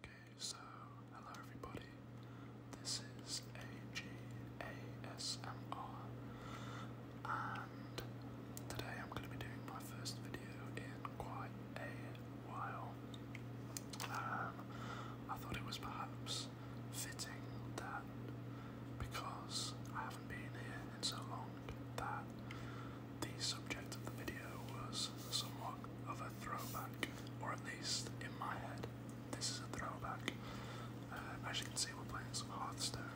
Okay, so hello everybody. This is AGASMR, and today I'm going to be doing my first video in quite a while. Um, I thought it was perhaps fitting that because I haven't been here in so long that the subject of the video was somewhat of a throwback, or at least in my head, this is a throwback. Uh, as you can see, we're playing some Hearthstone.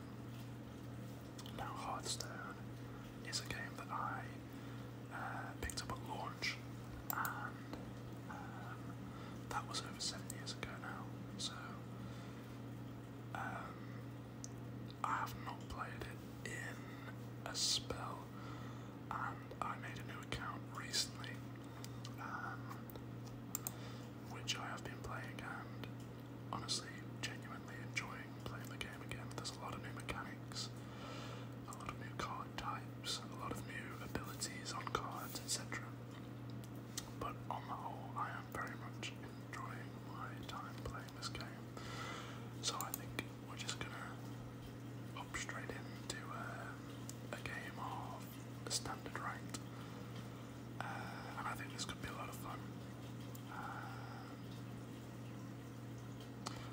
Now, Hearthstone is a game that I uh, picked up at launch, and um, that was over seven years ago now. So, um, I have not played it in a spell, and I made a new account recently, um, which I have been playing and honestly genuinely enjoying playing the game again. There's a lot of new mechanics, a lot of new card types, a lot of new abilities on cards, etc. But on the whole, I am very much enjoying my time playing this game. So I think we're just gonna hop straight into uh, a game of standard ranked, uh, and I think this could be a lot of fun. Uh,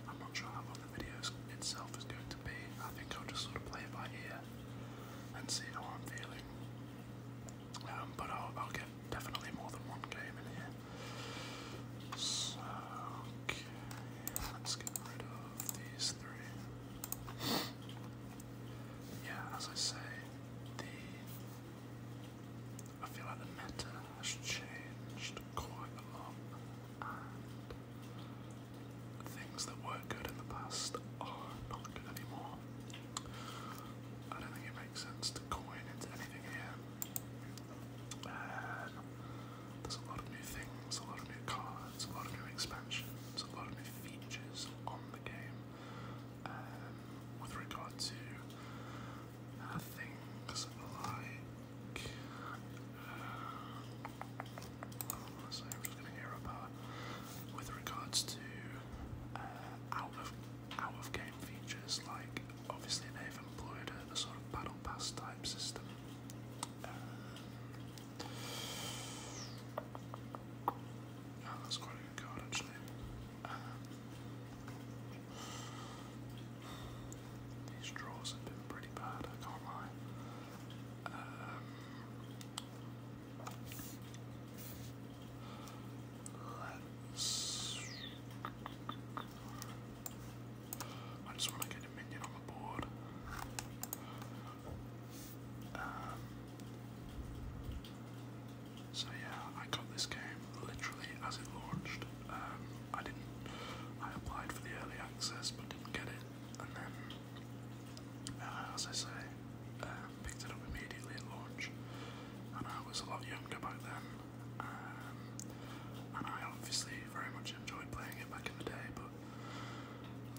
I'm not sure how long the video itself is going to be. I think I'll just sort of play it by ear and see how I'm feeling. Um, but I'll, get definitely more than one game in here. So, let's get rid of these three. Yeah, as I say, the. I feel like the meta has changed quite a lot, and things that were good in the past are not good anymore. I don't think it sense to coin into anything here. Uh, there's a lot of new things, a lot of new cards, a lot of new expansions, a lot of new features on the game. Um, with regard to uh, things like, uh, oh, I'm just going to hear about. With regards to uh, out of game features like obviously they've employed a, sort of battle pass type system. Uh, oh, that's quite good actually. Um, these draws have been pretty bad, I can't lie. Um, I just want to get a minion on the board. Um, so yeah, I got this game literally as it launched. Um, I didn't. I applied for the early access but didn't get it, and then, uh, as I say, uh, picked it up immediately at launch, and I was a lot younger back then. Um, and I obviously very much enjoyed playing it back in the day, but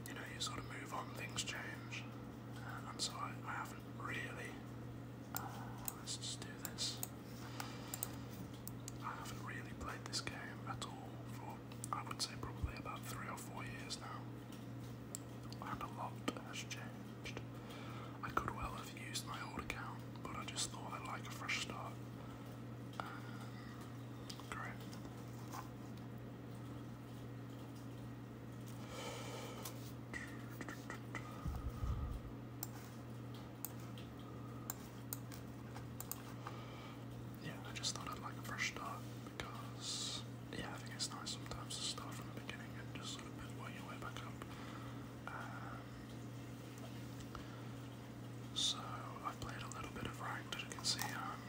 you know, you sort of move on, things change, uh, and so I, haven't really. Uh, let's just do this. I haven't really played this game at all for, I would say, probably about three or four years now and a lot has changed. I could well have used my old account, but I just thought I'd like a fresh start. Um, Yeah, I just thought I'd like a fresh start because yeah, I think it's nice sometimes to start from the beginning and just sort of build your way back up. Um, so I've played a little bit of ranked, as you can see. Um,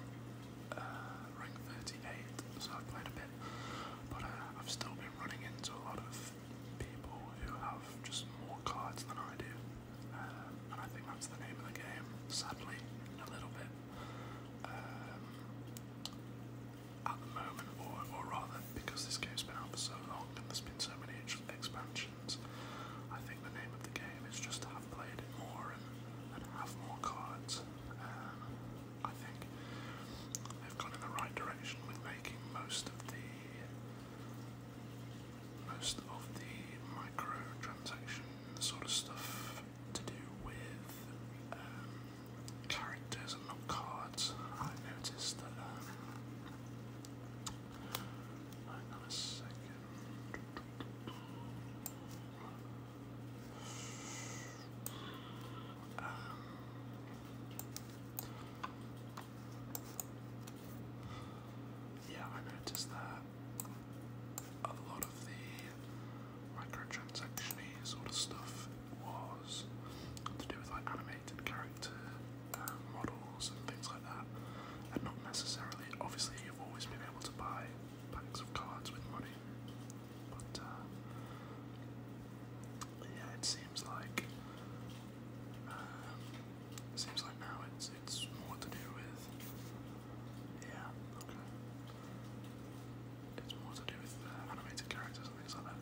uh, rank 38, so I've played a bit, but uh, I've still been running into a lot of people who have just more cards than I do, um, and I think that's the name of the game, sadly, a little bit at the moment, or, or rather, because this game's been out for so long and there's been so many expansions, I think the name of the game is just to have played it more and, and have more cards. Um, I think they've gone in the right direction with making most of the most of the microtransaction sort of stuff to do with um, characters and not cards, I noticed that. Um, um, yeah, I noticed that a lot of the microtransaction-y sort of stuff was to do with like animated character uh, models and things like that, and not necessarily. Obviously, you've always been able to buy packs of cards with money, but uh, yeah, it seems like um, it seems like now it's it's more to do with yeah okay. It's more to do with uh, animated characters and things like that.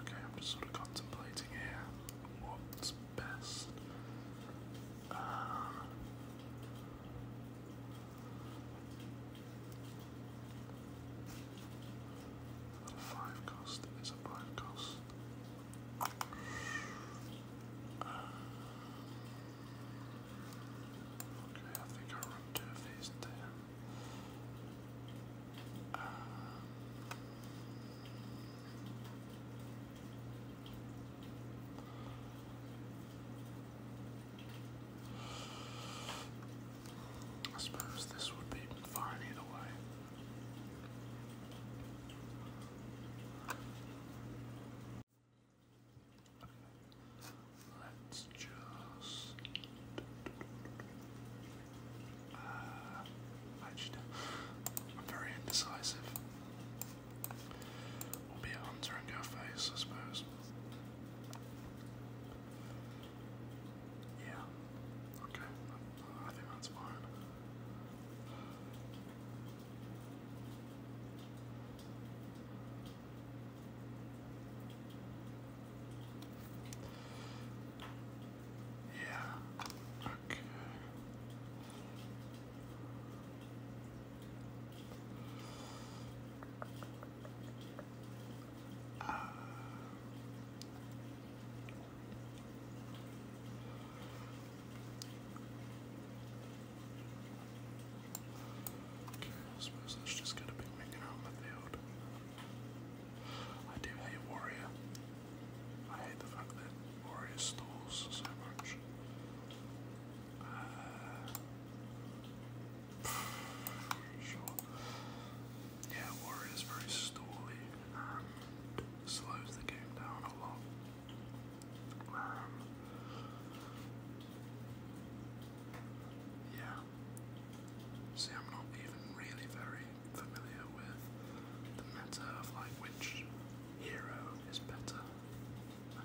Okay, I'm just sort of contemplating here what's best. Uh, Little five cost is a five cost. okay, I think I run two there. I suppose this would be fine either way. Let's just. Uh, I am very indecisive. We'll be a hunter face, I suppose. Yeah. Okay. I think that's fine. Yeah. Okay. Uh, okay, I suppose that's just gonna be making out in the field. I do hate Warrior. I hate the fact that Warrior stalls so much. Uh, yeah, Warrior very stally slows the game down a lot. Um, yeah. See, I'm not even really very familiar with the meta of like which hero is better. Uh,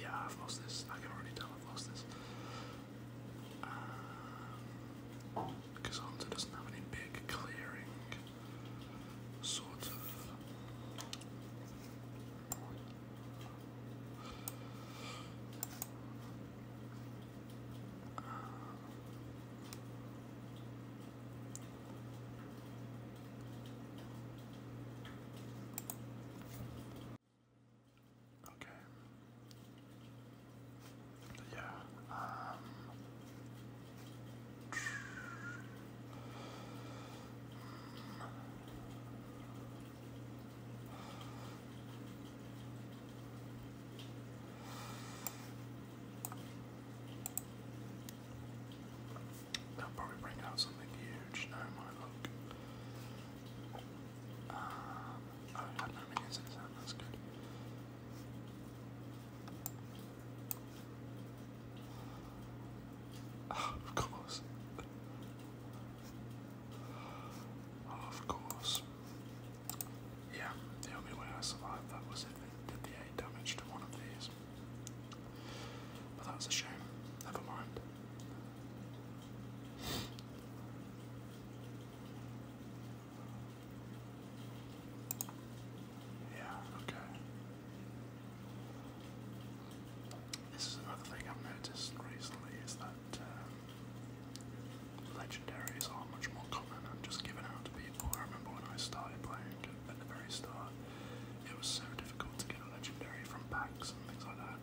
yeah, I've lost this. I can already tell I've lost this. Because Hunter doesn't have any big clearing sort of. Okay. Yeah. Um. They'll probably bring out something huge now, my look of course. of course. Yeah, the only way I survived that was if they did the 8 damage to one of these. But that's a shame. Never mind. Yeah, okay. This is another thing I've noticed recently is that um, legendaries are much more common and just given out to people. I remember when I started playing at the very start, it was so difficult to get a legendary from packs and things like that.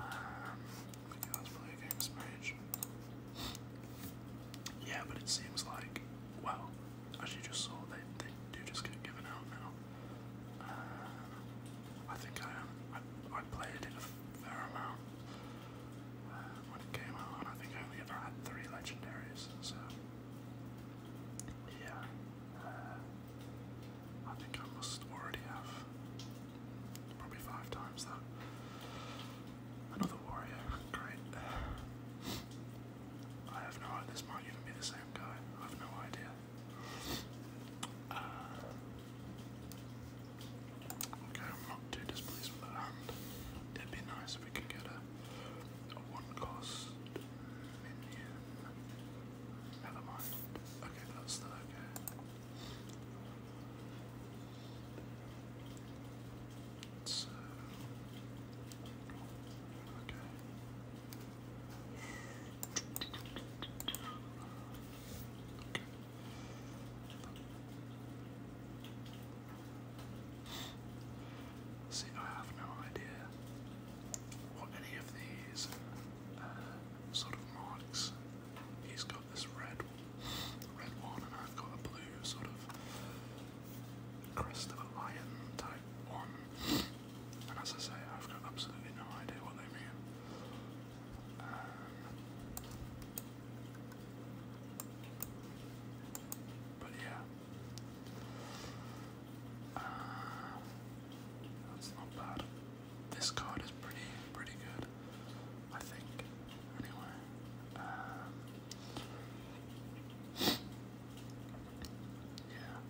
Um, yeah, let's play a game of Spanish. Yeah, but it seems like, well, as you just saw, they, they do just get given out now. Uh, I think I am. Um, I, I played in a fair amount uh, when it came out, I think I only ever had three legendaries, so. Yeah. Uh, I think I must already have Probably five times though. Another warrior. Great. I have no idea. This might even be the same guy. I have no idea. Uh, okay, I'm not too displeased with that hand. It'd be nice if we could get a, a one-cost minion. Never mind. Okay, that's still okay. So, okay. Okay. See, I have no idea what any of these uh, sort of marks He's got this red, red one, and I've got a blue sort of crest of a lion type one. And as I say, I've got absolutely no idea what they mean. Um, but yeah. Uh, that's not bad this card is pretty pretty good, I think. Anyway, um, yeah.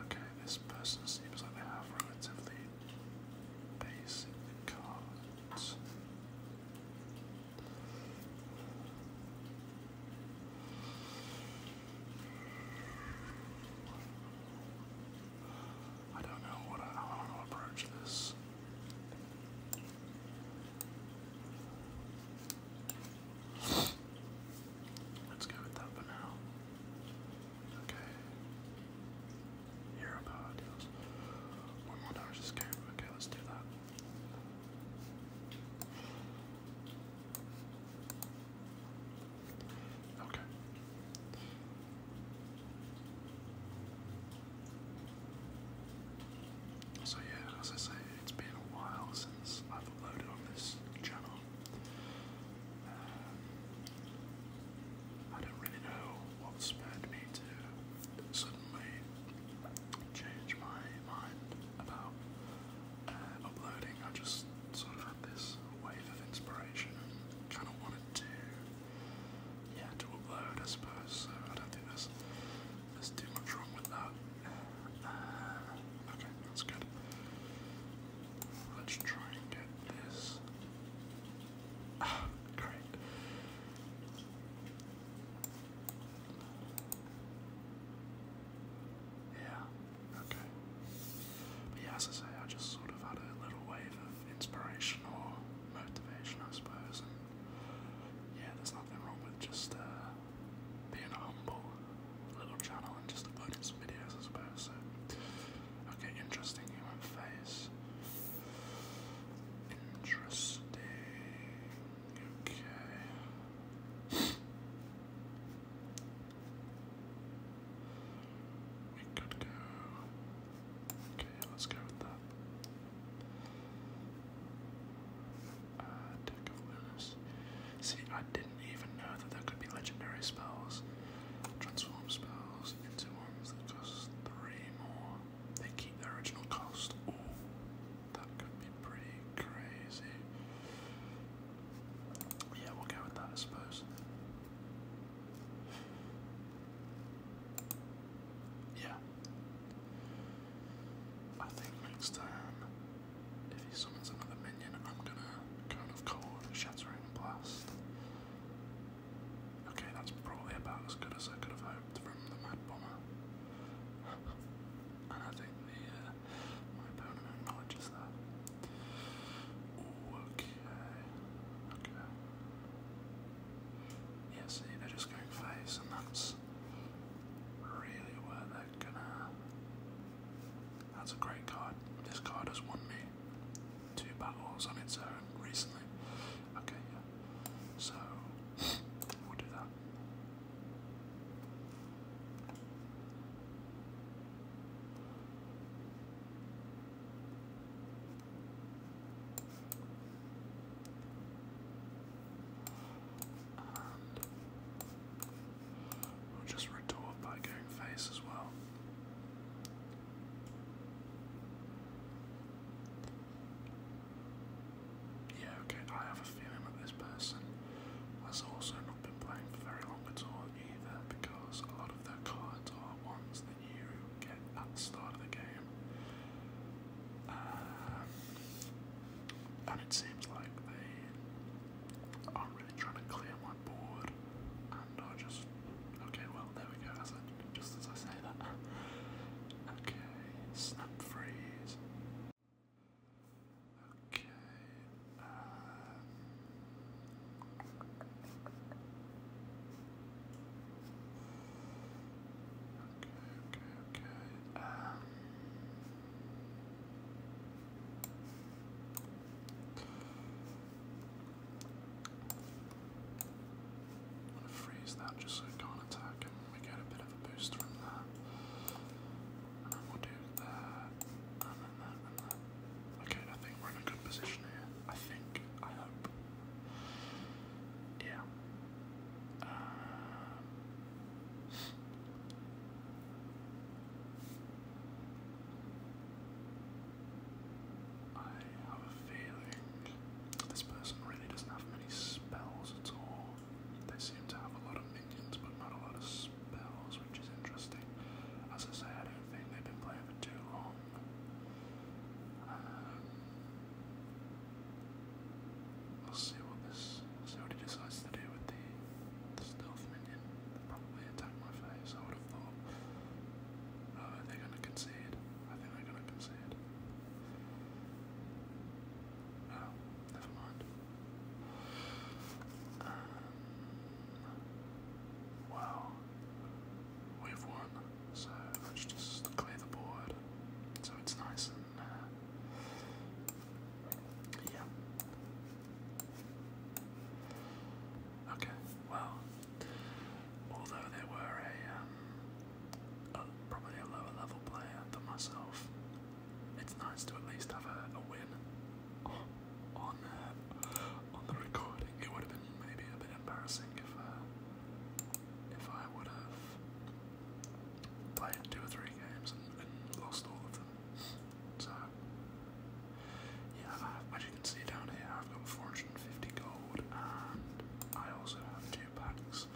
Okay, this person seems like they have relatively basic cards. I don't know what I, want to approach this. Let's go with that for now. Okay. Hero power One more damage this game. Okay, let's do that. So yeah, as I say, it's been a while since I've uploaded on this channel. Uh, I don't really know what spurred me to suddenly change my mind about uh, uploading. I just sort of had this wave of inspiration kind of wanted to, yeah, to upload, I suppose. So I don't think there's there's too much wrong with that. Uh, okay, that's good. Let's try and get this. Ah, great. Yeah, okay. But yeah, as I say, I just sort of had a little wave of inspiration or motivation, I suppose. yeah, there's nothing wrong with just uh, being a humble little channel and just uploading some videos, I suppose. So, okay, interesting human face. Interesting. Okay. We could go. Okay, let's go with that. Uh, Deck of Lunas. See, I didn't even know that there could be legendary spells. Transform spells into ones that cost three more. They keep their original cost. Ooh. That could be pretty crazy. Yeah, we'll go with that, I suppose. Yeah. I think next time, if he summons another minion, I'm gonna kind of call Shattering Blast. Okay, that's probably about as good as I could have hoped from the Mad Bomber. and I think the uh, my opponent acknowledges that. okay. Okay. Yeah, they're just going face, and that's really where they're gonna. That's a great card. This card has won me two battles on its own recently. Okay, yeah. So, we'll do that. We'll just retort by going face as well. Yeah, okay, I have a feeling that this person has also not been playing for very long at all either because a lot of their cards are ones that you get at the start of the game. Um, and it seems like they are really trying to clear my board and are just. Okay, well, there we go, as I, just as I say that. okay, snap freeze. Okay. okay, okay, um, I'm gonna freeze that just so it can't attack and we get a bit of a boost from that. Okay, I think we're in a good position here. I think. I hope. Yeah. Um, I have a feeling this person really doesn't have many spells at all. They seem to have a lot of minions, but not a lot of spells, which is interesting. As I say, I don't think they've been playing for too long. Um, we'll see what this, see what he decides to do with the, the stealth minion. probably attack my face. I would have thought. Oh, are gonna concede? I think they're gonna concede. Oh, never mind. Um, wow. We've won, so let's just clear the board so it's nice and. Uh, yeah. Okay, well. Although they were um, a probably a lower level player than myself, it's nice to at least have a, win on uh, on the recording. It would have been maybe a bit embarrassing if uh, if I would have played two or three games and, lost all of them. So yeah, uh, as you can see down here, I've got 450 gold, and I also have two packs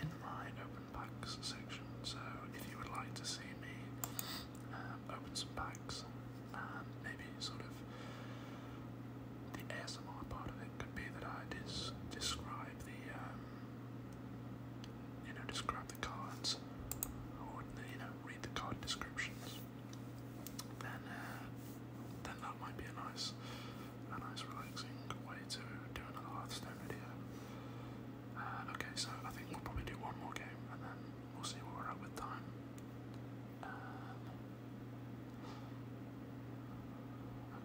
in my open packs section. So if you would like to see me um, open some packs and um, maybe sort of the ASMR part of it could be that I dis describe the um, you know describe the cards or you know read the card descriptions. Then uh, then that might be a nice a nice relaxing way to do another Hearthstone video. Uh, okay, so I think we'll probably do one more game and then we'll see where we're at with time. Um,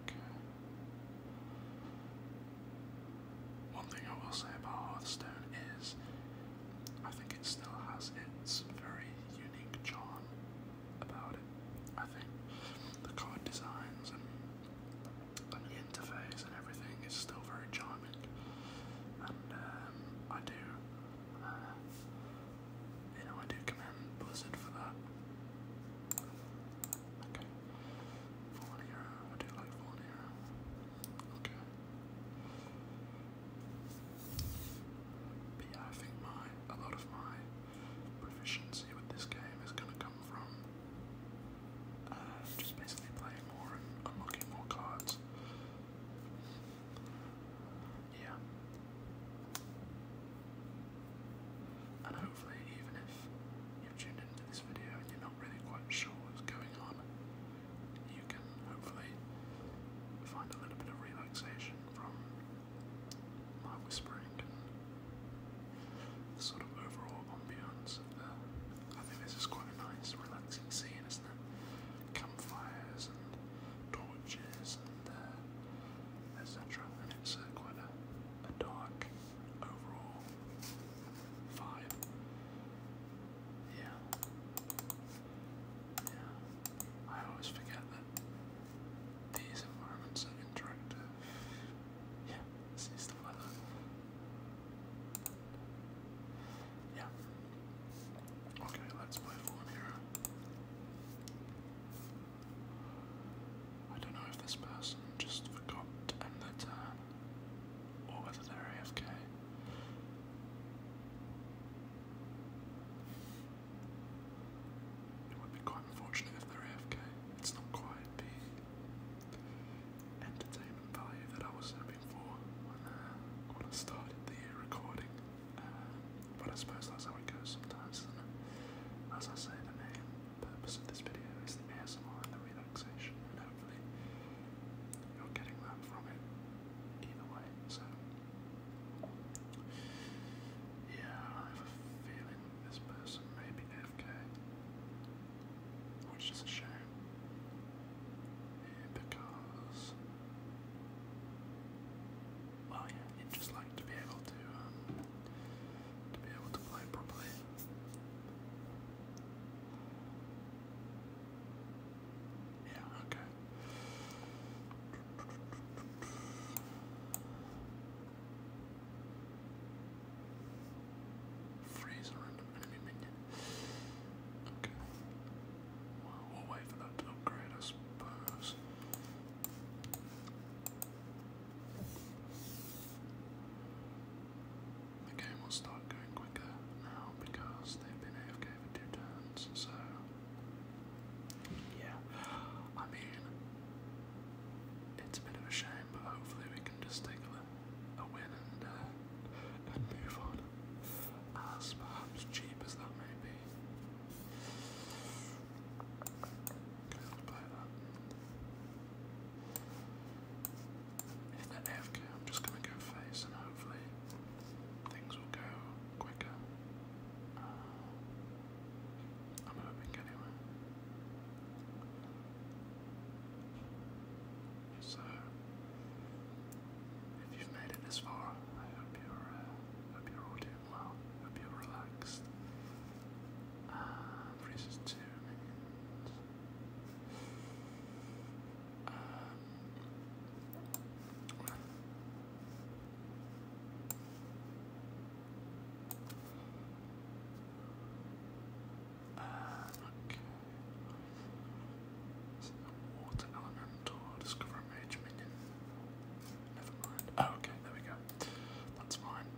okay. One thing I will say about Hearthstone is I think it still has its very unique charm about it. I think the card designs and the interface and everything is still very charming, and um, I do, uh, I do commend Blizzard for that. Okay, Fallen I do like Fallen Okay. But yeah, I think my a lot of my proficiency with this game is gonna come from uh, just basically playing more and unlocking more cards. Yeah. And hopefully, even if you've tuned into this video and you're not really quite sure what's going on, you can hopefully find a little bit of relaxation from my whispering the sort of overall ambience of the. I think this is quite a nice, relaxing scene, isn't it? Campfires and torches and uh, etc. And it's uh, quite a, a dark overall vibe. Yeah. Yeah. I always forget that these environments are interactive yeah, see stuff like that. Yeah. Okay, let's play Fallen I don't know if this person just forgot to end their turn uh, or whether they AFK. It would be quite unfortunate if they're AFK. It's not quite entertainment value that I was hoping for when, uh, I started the recording. Uh, but I suppose that's how it goes sometimes, As I say, the main purpose of this video is the ASMR and the relaxation, and hopefully you're getting that from it either way. So, yeah, I have a feeling this person may FK, which is a shame because well, would just like to be able to um, to be able to play properly. Yeah, okay. Freeze random enemy minion. Okay. we'll wait for that upgrade, I suppose. The game will start going quicker now because they've been AFK for two turns, so. Yeah. I mean, it's a bit of a shame but hopefully we can just take a, a win and, uh, and move on. As perhaps cheap as that may be. Okay, If I'm just gonna go face and hopefully things will go quicker. Uh, I'm hoping anyway. So, if you've made it this far, I hope you're, uh, hope you're doing well. Hope you're relaxed. Uh, freezes two minions. Um, uh, okay. So water elemental, discover mage minion. Never mind. Oh, okay, there we go. That's fine.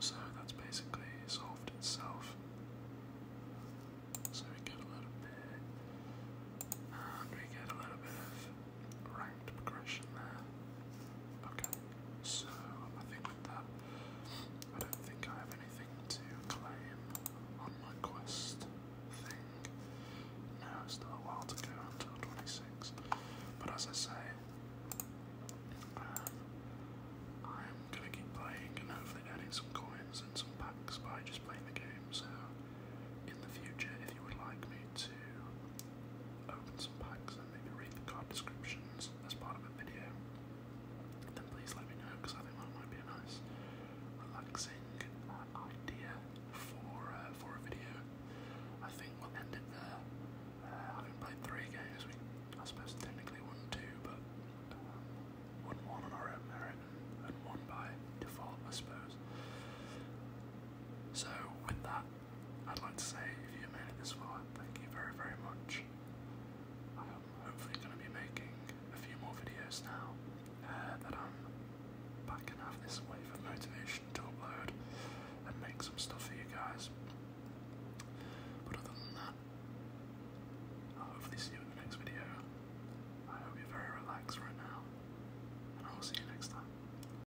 So that's basically solved itself. So we get a little bit, and we get a little bit of ranked progression there. Okay, so I think that, I don't think I have anything to claim on my quest thing. No, still a while to go until 26. But as I say, um, I'm gonna keep playing and hopefully earning some coins and some packs by just playing the game. So, in the future, if you would like me to open some packs and maybe read the card descriptions as part of a video, then please let me know because I think that might be a nice, relaxing idea for uh, for a video. I think we'll end it there. Uh, having played three games, we I suppose technically one two, but um, one on our own merit and one by default, I suppose. So with that. I'd like to say if you made it this far, thank you very, very much. I'm hopefully going to be making a few more videos now uh, that I'm back and have this wave of motivation to upload and make some stuff for you guys. But other than that, I'll hopefully see you in the next video. I hope you're very relaxed right now, and I will see you next time.